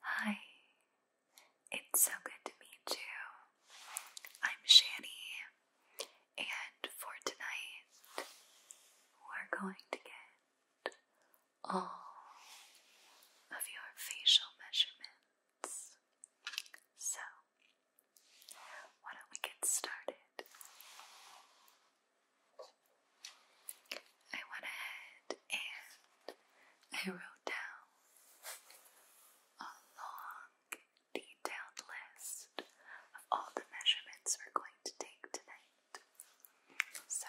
Hi, it's so good to meet you. I'm Shani, and for tonight, we're going to get all of your facial measurements. So, why don't we get started? I went ahead and I wrote down a long, detailed list of all the measurements we're going to take tonight. So,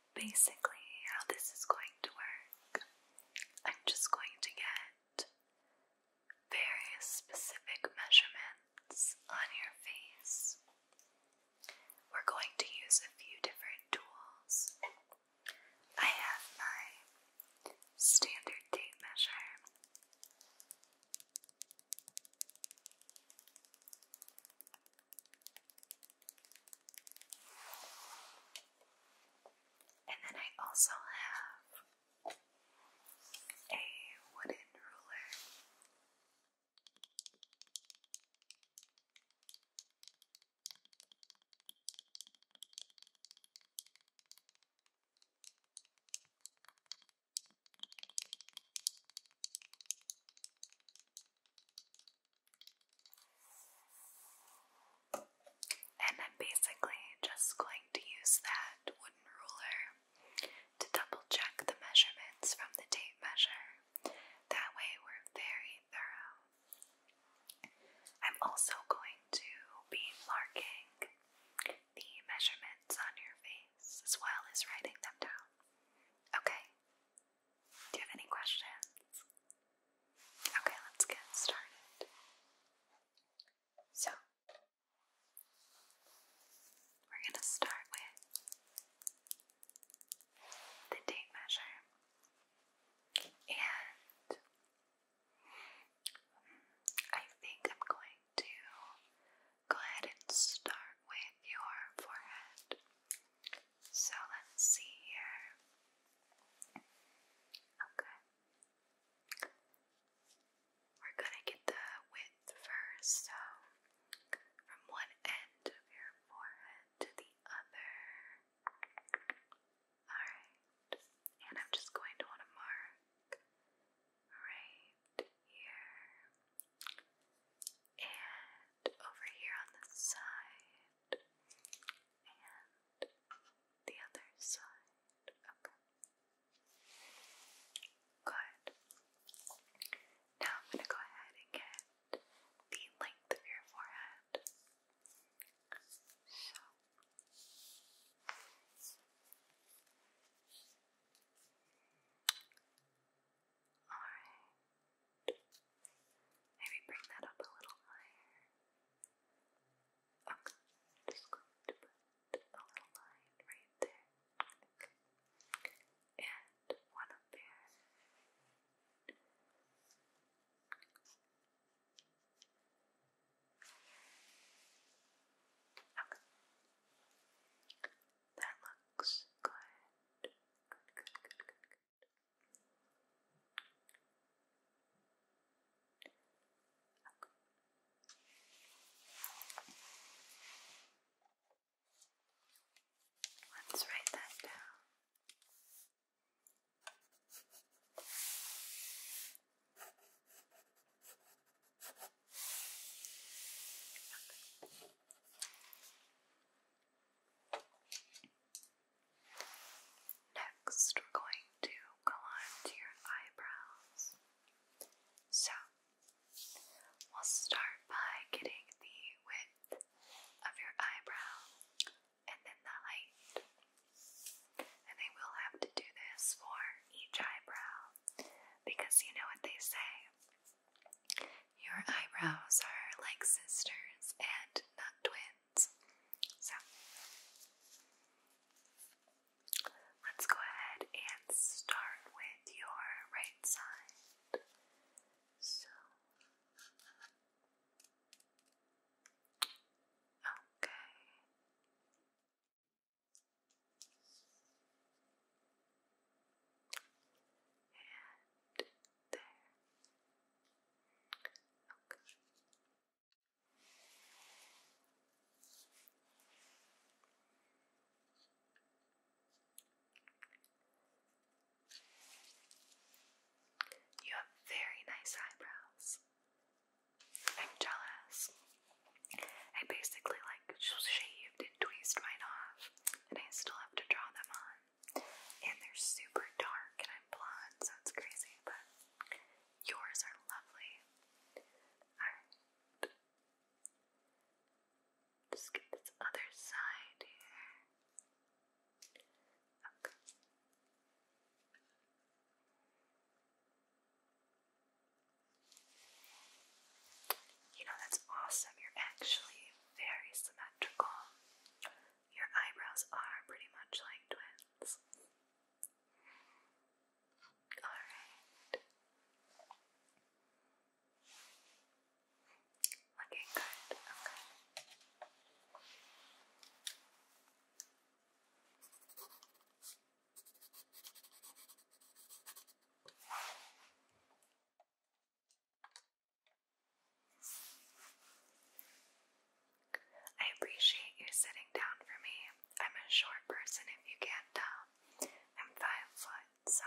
basically how this is going to work. I'm just going to get various specific measurements on your face. We're going to use a few different tools. I have my standard tape measure. And then I also have a wooden ruler. And I'm basically just going to use that wooden ruler to double check the measurements from the tape measure. That way, we're very thorough. I'm also going to be marking the measurements on your face as well as writing them down. Okay, do you have any questions? Okay, let's get started. So, we're going to start with the tape measure. And I think I'm going to go ahead and start with your forehead. So let's see here. Okay. We're gonna get the width first, so from one end of your forehead to the other. Alright. And I'm just going to want to mark right here. And over here on the side and the other side. Good. Now I'm going to go ahead and get the length of your forehead. So. Alright. Maybe bring that up a little higher. i just going to put a little line right there. Okay. And one up there. Okay. That looks good good, good, good, good, good. Okay. Let's write that down. Okay. Next, we're going to go your eyebrows. So, we'll start by getting the width of your eyebrow and then the height. And they will have to do this for each eyebrow because you know what they say your eyebrows are like sisters and not twins. So, let's go ahead and start with your right side. okay. There. You have very nice eyebrows. I'm jealous. I basically like shaved and tweezed mine off, and I still have to draw them on and they're super dark, and I'm blonde, so it's crazy, but yours are lovely. Alright. Just get this other side here. Okay. You know, that's awesome. You're actually very symmetrical. Your eyebrows are pretty much like twins. Alright. Looking good, okay. I appreciate you sitting down for me. I'm a short person if you can't I'm five foot, so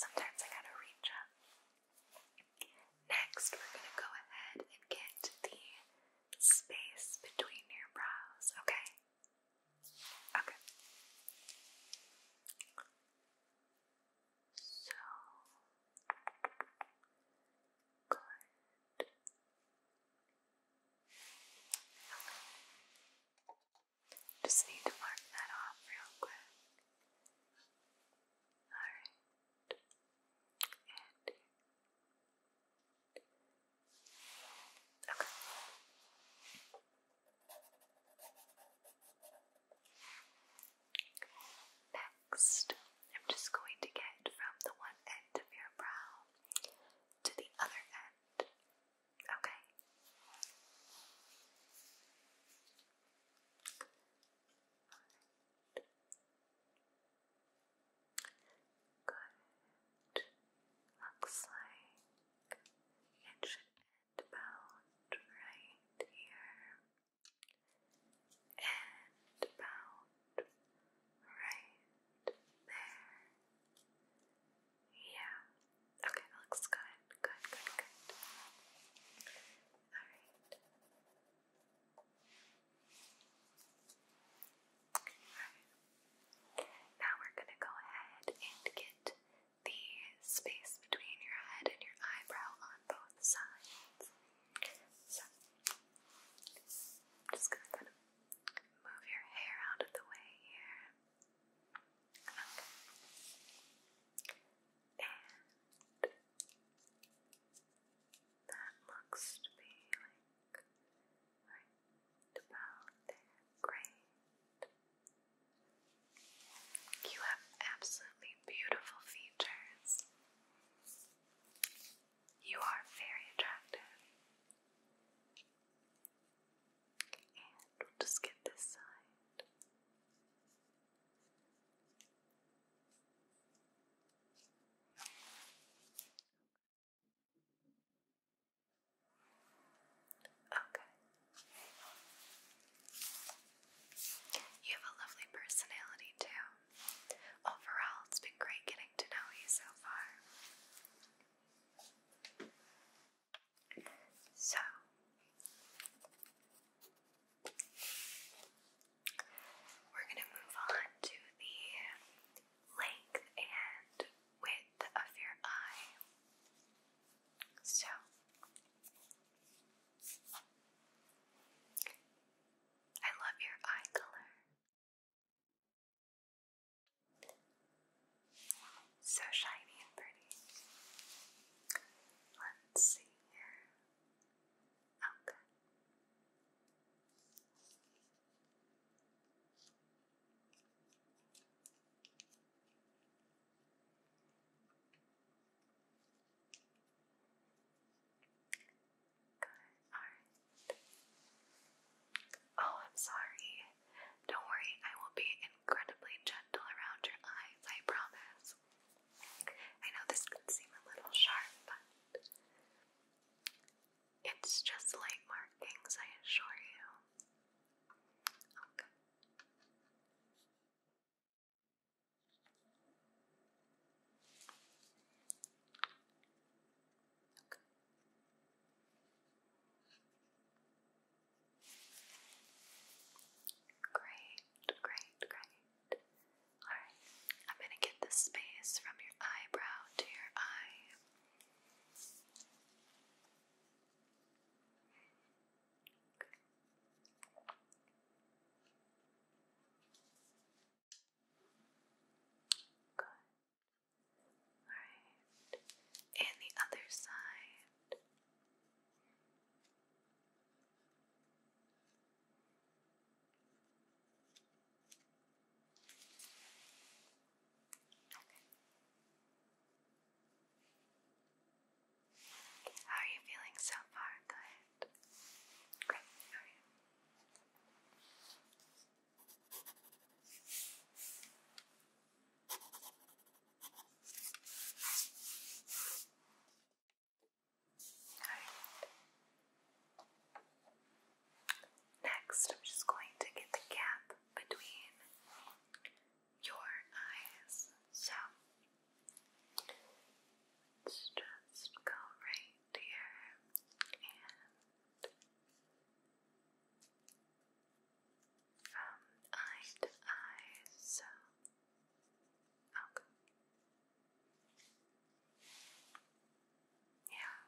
sometimes I gotta reach up. Next, we're gonna go ahead and get the space between your brows, okay? Okay. So good. Just need to mark that off real quick. Alright. Okay. Next, I'm just going to get from the one end of your brow to the other end. Okay. Good. Looks like it should about right here, and about right there. Yeah. Okay, looks good. Good, good, good. Alright. Alright. Now we're going to go ahead and get the space between your head and your eyebrow on both sides. So, I'm just gonna kind of move your hair out of the way here. Okay. And that looks to be like about there. Great. You have absolutely beautiful features. You are very attractive. And we'll just get this side. Okay. You have a lovely personality, too. Overall, it's been great getting to know you so far. So, we're going to move on to the length and width of your eye. So, I love your eye color. So shiny and pretty. Let's see here. Okay. Oh, Oh, I'm sorry. Don't worry, I will be incredibly gentle around your eyes, I promise. I know this can seem a little sharp, but it's just light markings, I assure you. Okay. Oh, Great, great, great. Alright, I'm going to get the space from your eyebrow to your eye. Good. Alright. And the other side. Okay. How are you feeling so far? Good. Great. Next, I'm just going to get the gap between your eyes. So let's just go right here and from um, eye to eye. So okay. Yeah,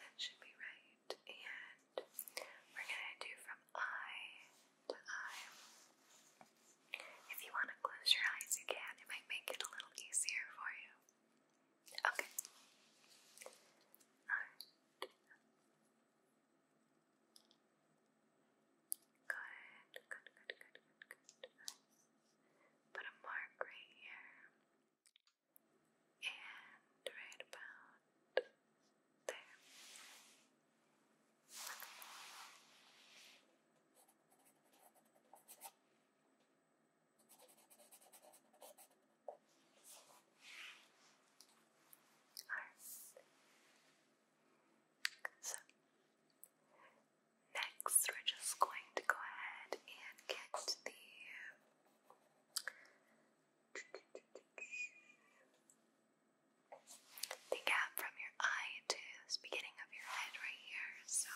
that should be right. And we're gonna do from eye if you want to close your eyes, you can. It might make it a little easier for you. Okay. Alright. Good, good, good, good, good, good. Put a mark right here. And right about there. Alright. next we're just going to go ahead and get the the gap from your eye to the beginning of your head right here. So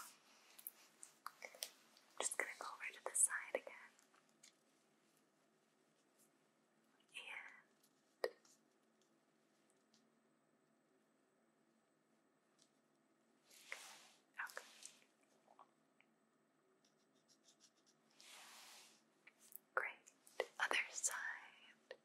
just gonna go over to the side again. And okay. Great. Other side.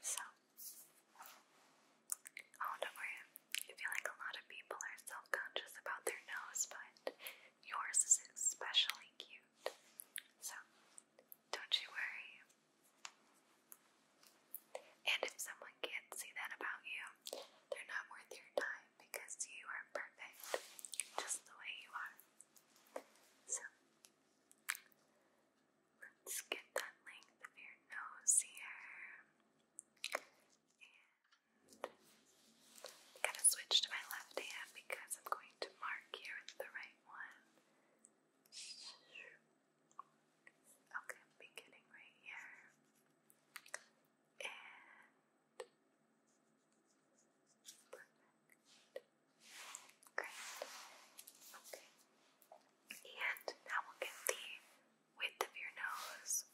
So, oh, don't worry. I feel like a lot of people are self conscious about their nose, but yours is especially cute. So, don't you worry. And if someone can't see that about you, they're not worth your time because you are perfect just the way you are. So, Let's get that length of your nose here. And I'm going to switch to my left hand because I'm going to mark here with the right one. Okay, beginning right here. And perfect. Great. Okay. And now we'll get the width of your nose.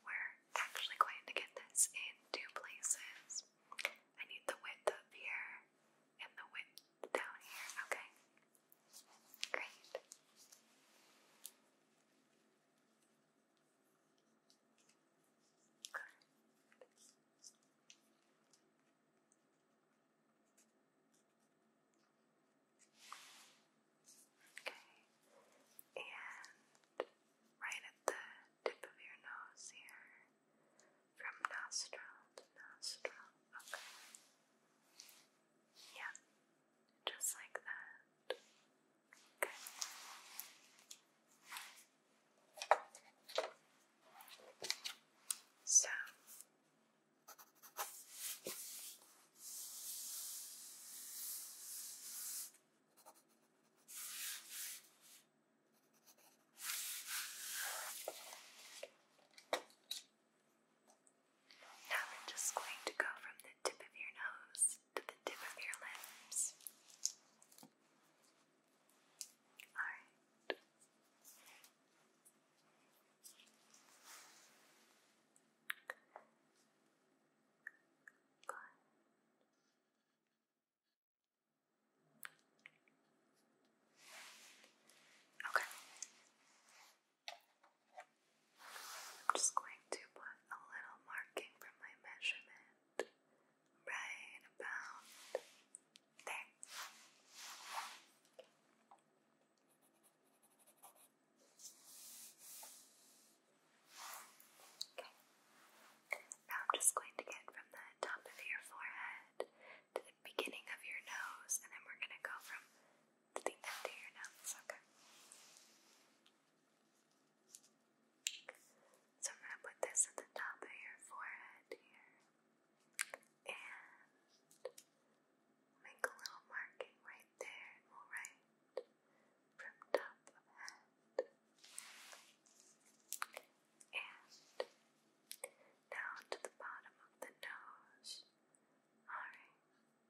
We're actually going to get this in two places. I need the width up here and the width down here. Okay. Great. Good. Okay, and right at the tip of your nose here, from nostril to nostril, okay. Yeah, just like that. Okay. So now we're just going to go from the tip of your nose to the tip of your lips. Alright. Okay. I'm just going to put a little marking from my measurement right about there. Okay. Now I'm just going to get from the top of your forehead to the beginning of your nose, and then we're going to go from the end of your nose. Okay. So I'm going to put this at the top of your forehead here and make a little marking right there and we'll top of head. And down to the bottom of the nose. Alright.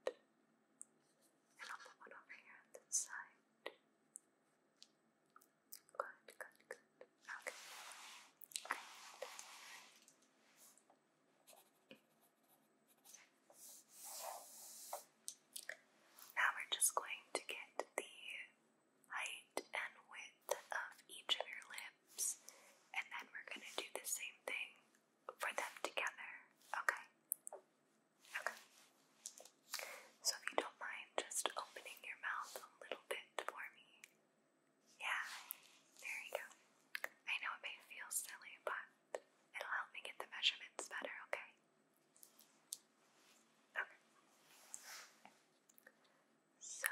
And I'll put one over here on this side. Good, good, good. Okay. Now we're just going to get the height and width of each of your lips, and then we're going to do the same thing for them together. Okay? Okay. So if you don't mind just opening your mouth a little bit for me. Yeah, there you go. I know it may feel silly, but it'll help me get the measurements better, okay? Okay. So.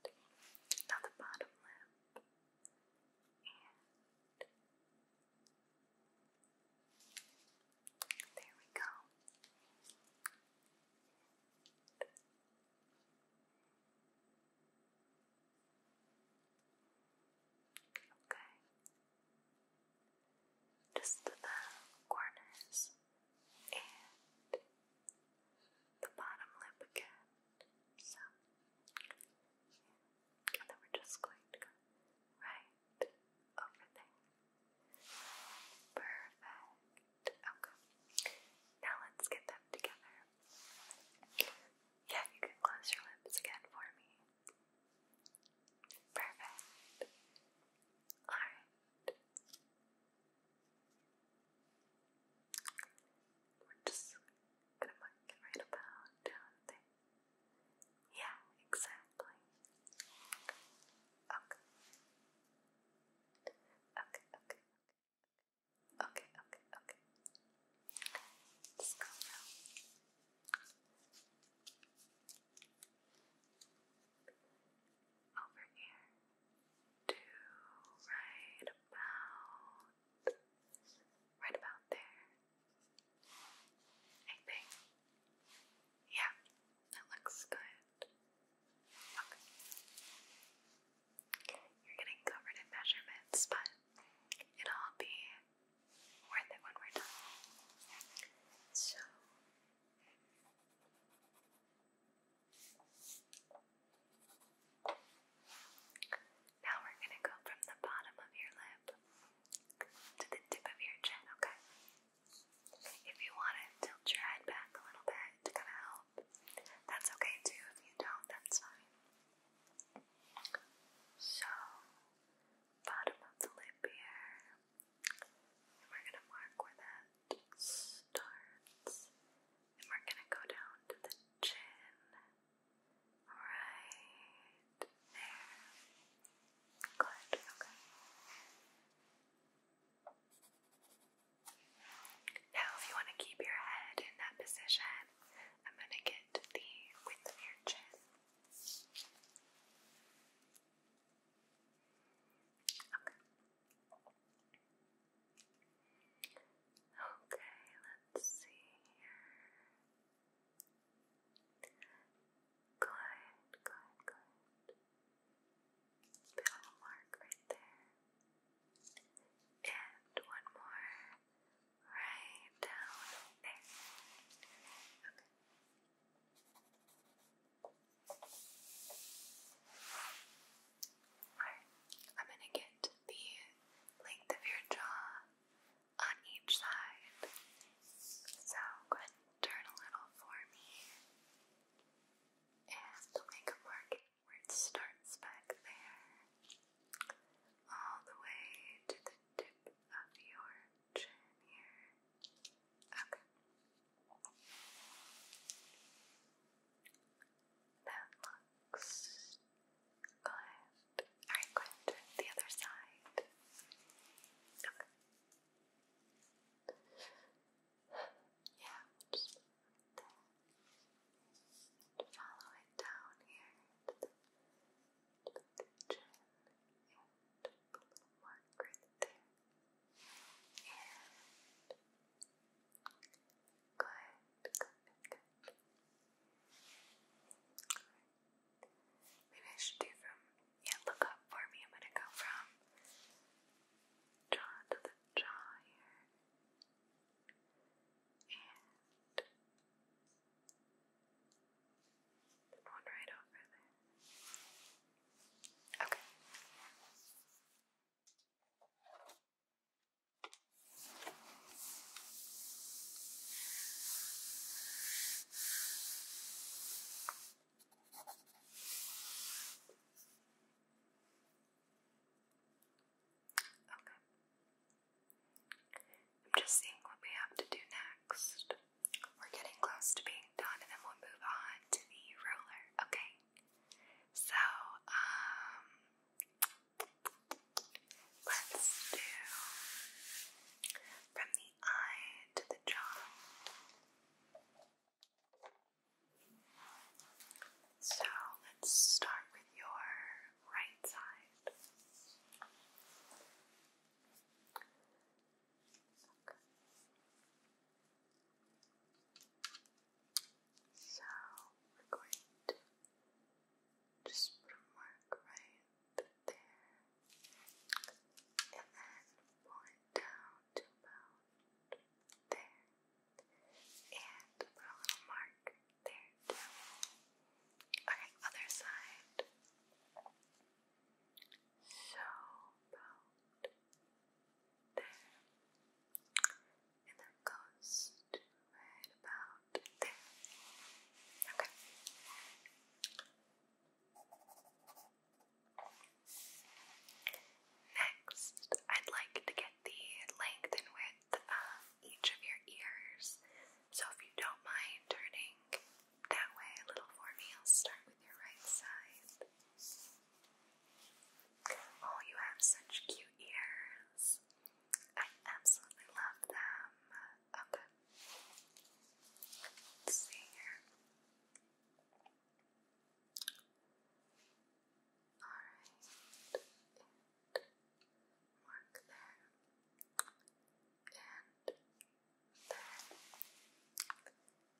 Good. Now the bottom lip. And there we go. Okay. Just the corners and the bottom lip again. So, yeah. And then we're just going to go right over there. Perfect. Okay. Now let's get them together. Yeah, you can close your lips again for me. Perfect. Alright. We're just gonna mark it about Yeah, exactly. Okay. Okay, okay, okay. Okay, okay, okay. Just go Over here. Do right about Right about there. I think. Yeah, that looks good. You're getting covered in measurements, but it'll be worth it when we're done. So. Now we're going to go from the bottom of your lip to the tip of your chin, okay? If you want to tilt your head back a little bit to kind of help, that's okay too. If you don't, that's fine. So, bottom of the lip here, we're going to mark where that starts, and we're going to go down to the chin right there. Good, okay. Now, if you want to keep your head in that position, I'm going to get the width of your chin. Okay. Okay, let's see here. Good, good, good. Bit of a mark right there. And one more right down there. Okay, Alright, I'm gonna get the length of your jaw on each side. So go ahead and turn a little for me. And make a mark where it starts back there. All the way to the tip of your chin here. Okay. That box. Good. Alright, go ahead the other side. Okay. Yeah, follow it down here to the, to the and a little mark there. And good, good, good, good. Maybe I should do from, yeah, look up for me. I'm gonna go from jaw to the jaw here. And one right over there. Okay. Okay. I'm just seeing what we have to do next. We're getting close to being done and then we'll move on to the roller. Okay. So, um Let's do from the eye to the jaw. So let's start with your right side. Okay. So we're going to just put a mark right there and then point down to about there and put a little mark there too. Okay, other side. So about there and their coast right about there. Okay. Next, I'd like to get the length and width of each of your ears. So if you don't mind turning that way a little for me, I'll start with your right side. Oh, you have such cute ears. I absolutely love them. Okay. Let's see here. Alright. Mark there.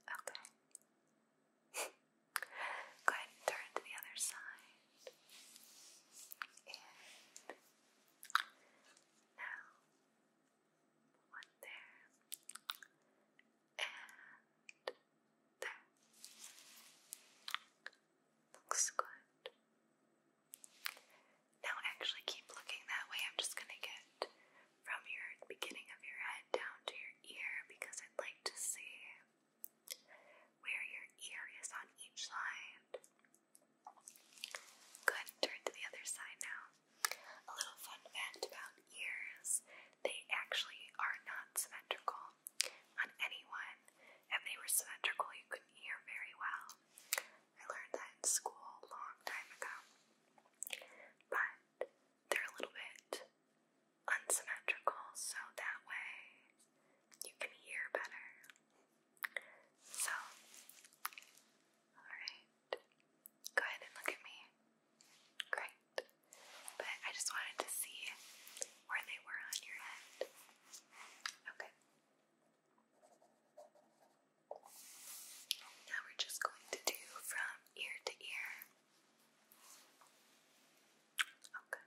And Okay. Go ahead and turn to the other side. now one there and there. Looks good. Now actually keep looking that way. I'm just gonna get from your beginning of your head down to your ear because I'd like to see where your ear is on each side. Good, turn to the other side now. A little fun fact about ears they actually are not symmetrical on anyone. If they were symmetrical, you couldn't hear very well. I learned that in school a long time ago. But they're a little bit unsymmetrical so that way you can hear better. So, alright. Go look at me. Great. But I just wanted to see where they were on your head. Okay. Now we're just going to do from ear to ear. Okay.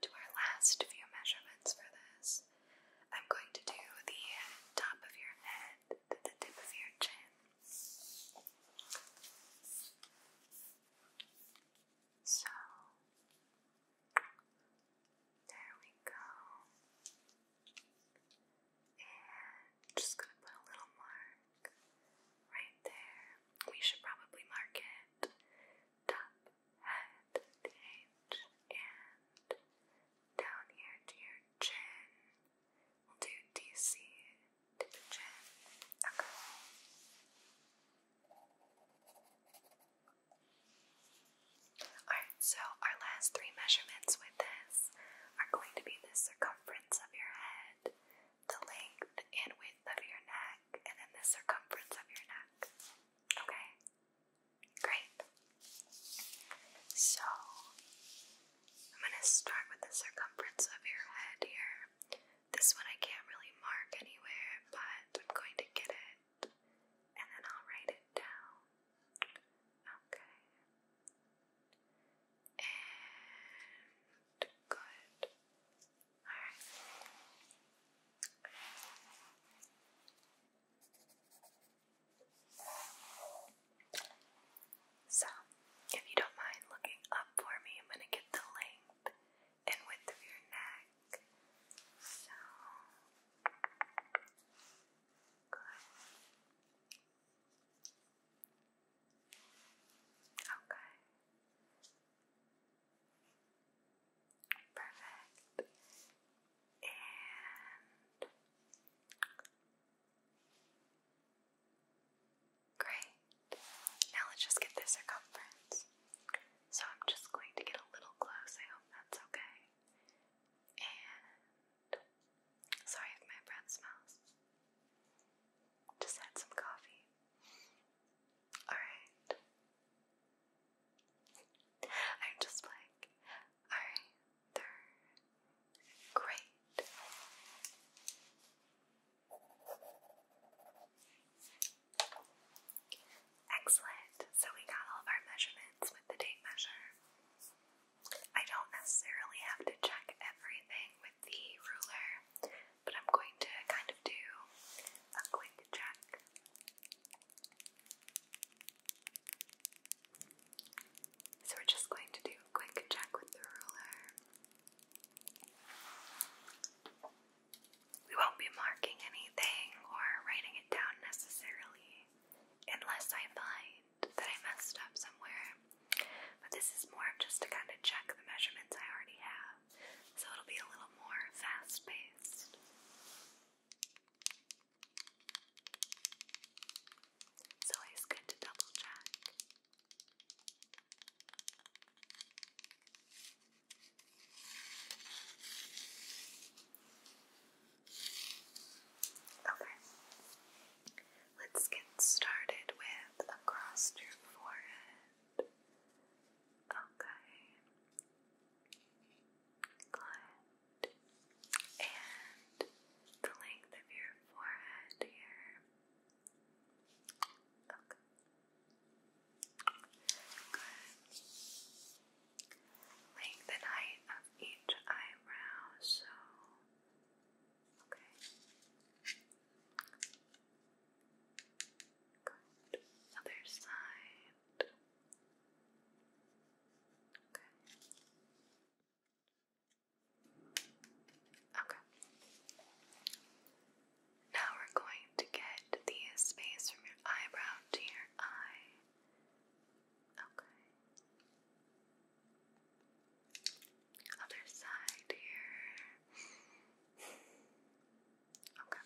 to our last few measurements for this. I'm going to do the top of your head to the tip of your chin. So, there we go. And just going to put a little mark right there. We should probably mark it top head stage and down here to your chin. we DC to the chin. Okay. Alright, so our last three measurements with this are going to be the circumference of your head, the length and width of your neck, and then the circumference of your neck. Okay? Great. So, I'm going to start with the circumference of your head here. This one I can't really mark anywhere, but I'm going to get it and then I'll write it down. Okay. And good. Alright. So, if you don't mind looking up for me, I'm going to get the length and width of your neck. So, good. Okay. Perfect. And great. Now let's just get the circumference. So I'm just going to get a little close. I hope that's okay. And sorry if my breath smells. Just had some coffee. Alright. I'm just like, alright, great. Excellent. So we got all of our measurements with the tape measure. I don't necessarily have to check everything with the ruler, but I'm going to kind of do a quick check. So we're just going to do a quick check with the ruler. We won't be marking anything or writing it down necessarily unless I find that I messed up somewhere. But this is more of just to kind of check the measurements I already have so it'll be a little more fast paced. It's good to double check. Okay, let's get started with across your forehead. Okay, Good. And the length of your forehead here. Okay. Good. Length and height of each eyebrow, so okay. Good. Other side. Okay. Okay. Now we're going to get the space from your eyebrow to your eye. Okay. Other side here. Okay.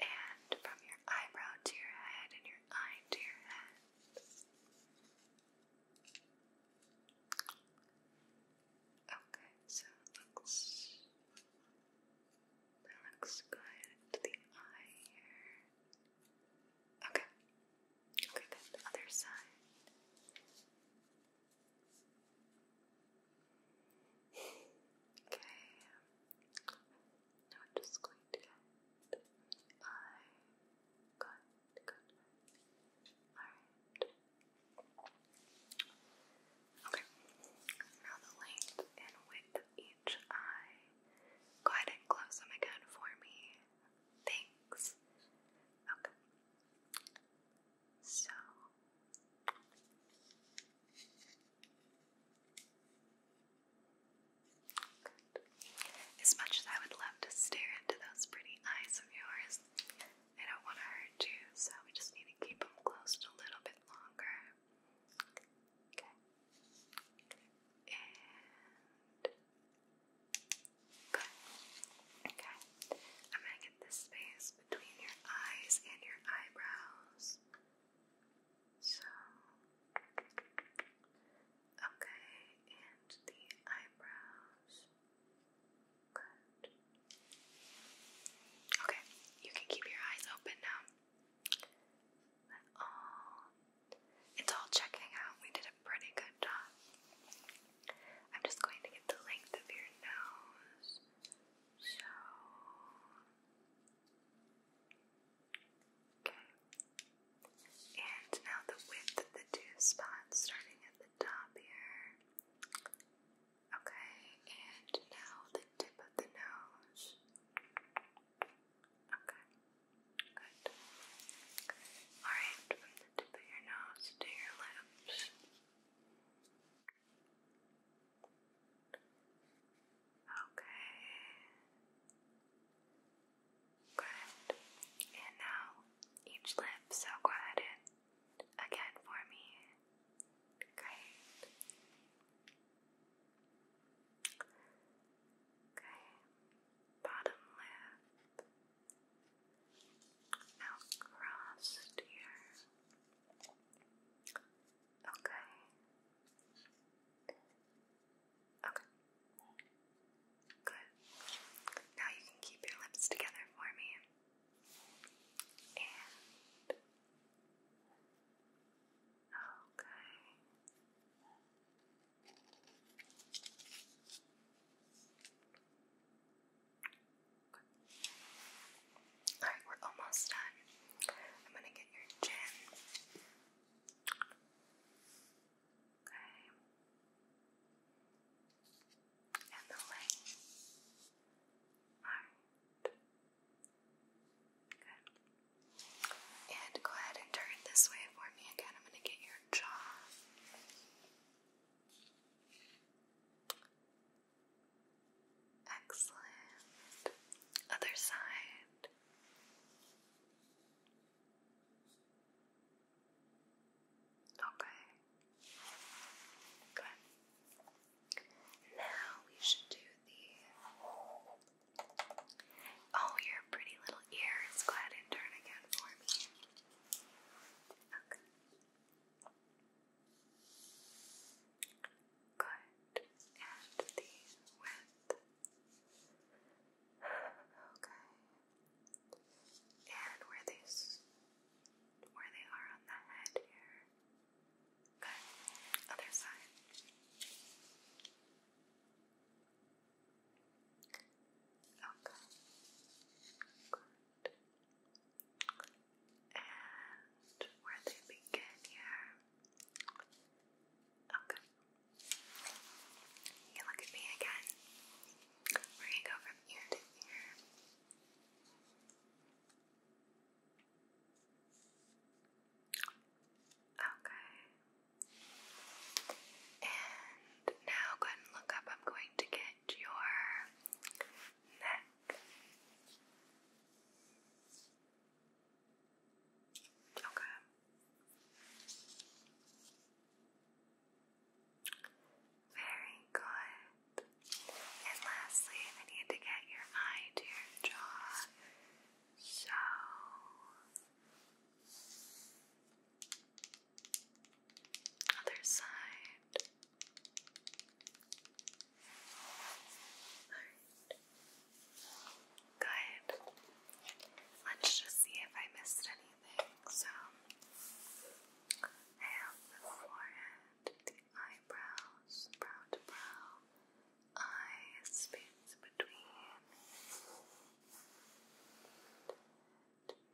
And from your eyebrow to your head and your eye to your head. Okay, so it looks that looks good to the eye here. Okay. Okay, then the other side. Okay. Now I'm just going to get my cut, cut. Alright. Okay. Now the length and width of each eye. Go ahead and close them again for me. Thanks. Okay. So Good. As much as I would love to stare into those pretty eyes of yours, I don't want to hurt you, so we just need to keep them closed a little bit longer. Okay. And. Okay. I'm going to get this space between your eyes and your eyebrows. So, okay, and the eyebrows. Good. Okay, you can keep your eyes open now. it's all checking out. We did a pretty good job. I'm just going to get the length of your nose. So, Okay. And now the width of the two spots starting at the top here. Okay, and now the tip of the nose. Okay. Good. Alright, from the tip of your nose to your lips. Okay. Good. And now each lip, so go ahead and again for me. Great. Okay. Bottom lip. Now here. Okay. Okay. Good. Now you can keep your lips together for me. And. Okay. Alright, we're almost done. I'm gonna get your chin. Okay. And the leg. Alright. Good. And go ahead and turn this way for me again. I'm gonna get your jaw. Excellent. Other side. Okay. Good. Now we should do the. Oh, your pretty little ears. Go ahead and turn again for me. Okay. Good. And the width. Okay. And where these where they are on the head here. Good. Other side. Okay. Good and where they begin here. Okay. You look at me again. We're go from ear to ear. Okay. And now go ahead and look up. I'm going to get your neck. Okay. Very good. And lastly, I need to get your eye to your jaw. So. Other side. Good. Let's just see if I missed anything. So, I forehead, the eyebrows, brow to brow, eyes, space between,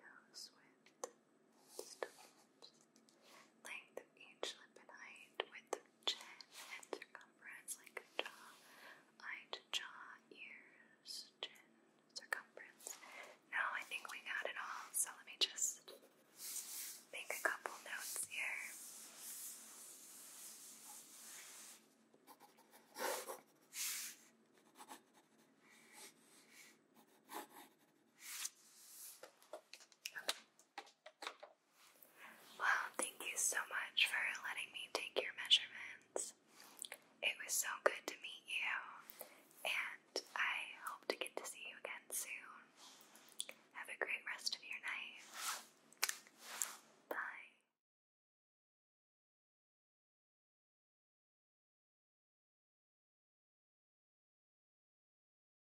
nose width, length each lip and height, width chin, circumference, like jaw, eye jaw, ears, chin, circumference. Now I think we got it all, so let me just make a couple notes here. Well, thank you so much for letting me take your measurements. It was so good to meet you, and I hope to get to see you again soon. Have a great rest of your night. Bye.